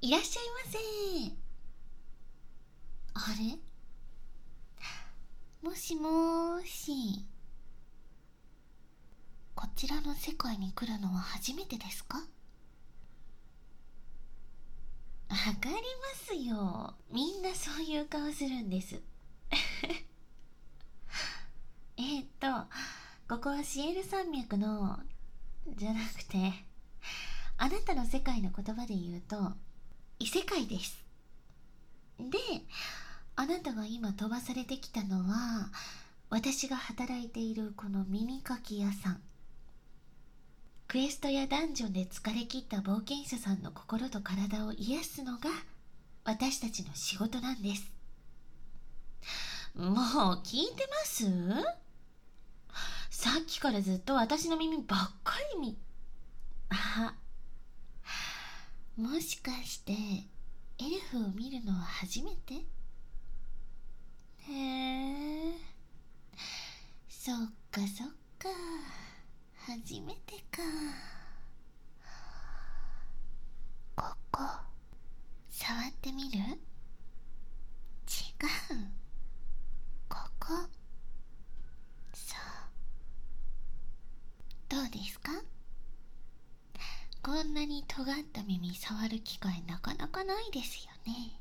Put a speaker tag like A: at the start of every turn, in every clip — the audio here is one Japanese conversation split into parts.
A: いらっしゃいませあれもしもしこちらの世界に来るのは初めてですかわかりますよみんなそういう顔するんです えっとここはシエル山脈のじゃなくてあなたの世界の言葉で言うと異世界ですであなたが今飛ばされてきたのは私が働いているこの耳かき屋さんクエストやダンジョンで疲れ切った冒険者さんの心と体を癒すのが私たちの仕事なんですもう聞いてますさっきからずっと私の耳ばっかりみあもしかしてエルフを見るのは初めてへえそっかそっか初めてかここ触ってみる違うここそうどうですかこんなに尖った耳触る機会なかなかないですよね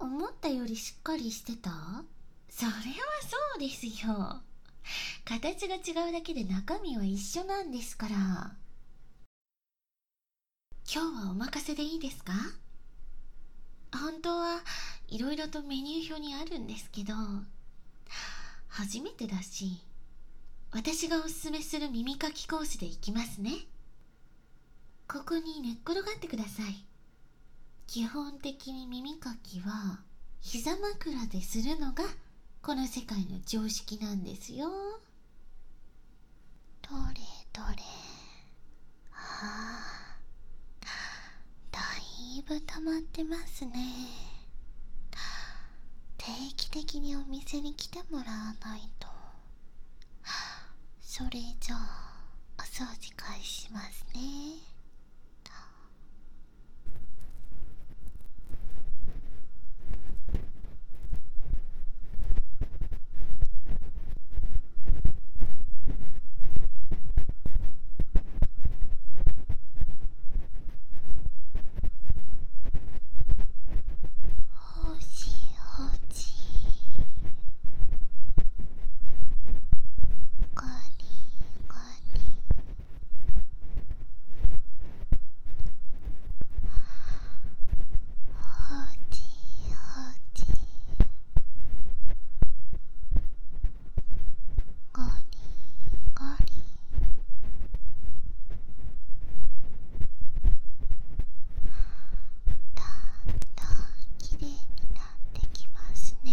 A: 思ったよりしっかりしてたそれはそうですよ形が違うだけで中身は一緒なんですから今日はお任せでいいですか本当はいろいろとメニュー表にあるんですけど初めてだし私がおすすめする耳かきコースでいきますねここに寝っ転がってください基本的に耳かきは膝枕でするのがこの世界の常識なんですよどれどれああだいぶ溜まってますね定期的にお店に来てもらわないとそれじゃあお掃除開始しますねほしほしガリガリおうちおうちゴリゴリだんだんきれいになってきますね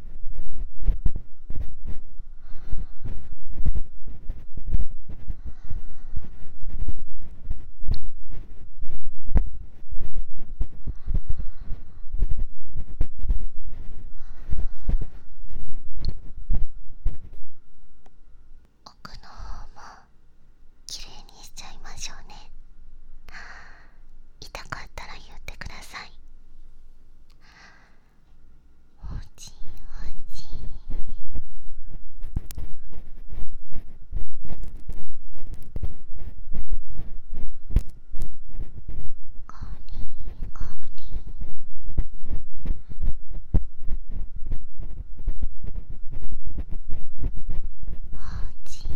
A: 奥の方もきれいにしちゃいましょうね。痛かったら言ってくださいおじおじゴにゴに…おじおじ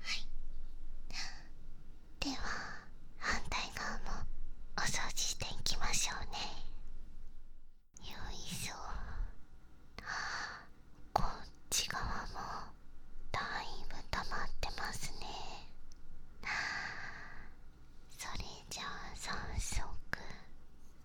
A: はいでは反対側もお掃除していきましょうねよいしょこっち側もだいぶ溜まってますねそれじゃあ早速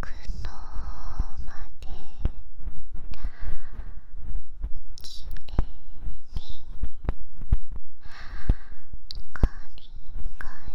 A: 奥のまできれいにガリガリ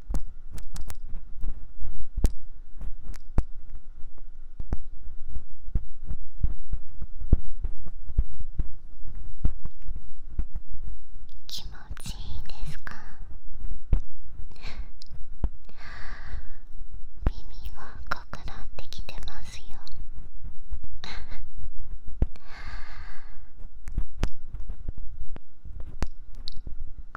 A: 気持ちいいですか耳が赤くなってきてますよ耳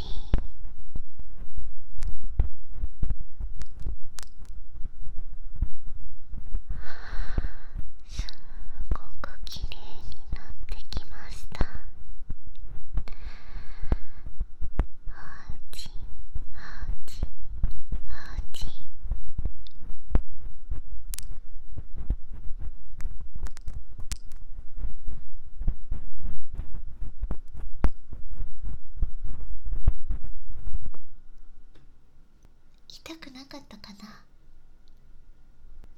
A: しいすごくきれいになってきましたハーチ痛くなかったかな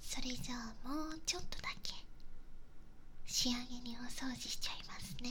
A: それじゃあもうちょっとだけ仕上げにお掃除しちゃいますね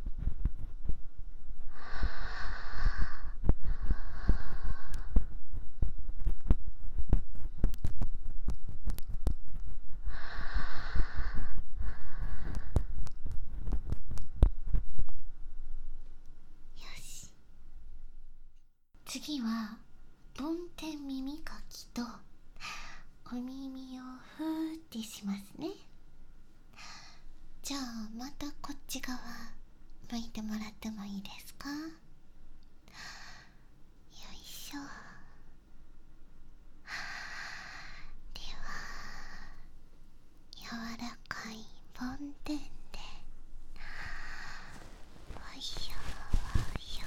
A: よし次は梵天耳かきとお耳をふーってしますねじゃあまたこっち側向いてもらってもいいですかよいしょでは柔らかい梵天でおいしょおいしょ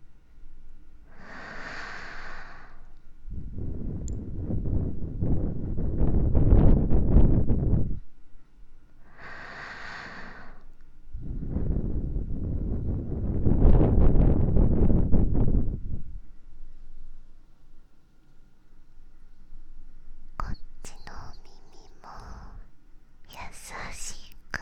A: はこっちの耳も優しく。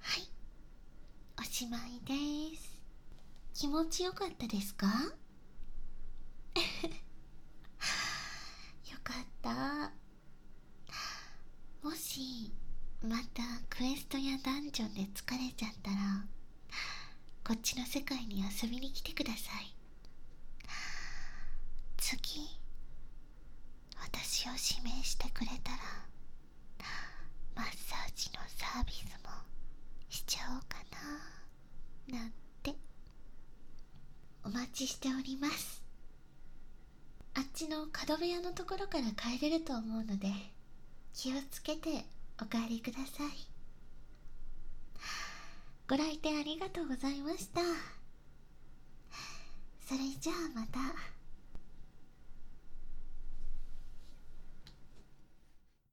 A: はいおしまいです気持ちよかったですか よかったもしまたクエストやダンジョンで疲れちゃったらこっちの世界に遊びに来てください次私を指名してくれたらマッサージのサービスもしちゃおうかななんてお待ちしておりますあっちの角部屋のところから帰れると思うので気をつけてお帰りくださいご来店ありがとうございましたそれじゃあまた。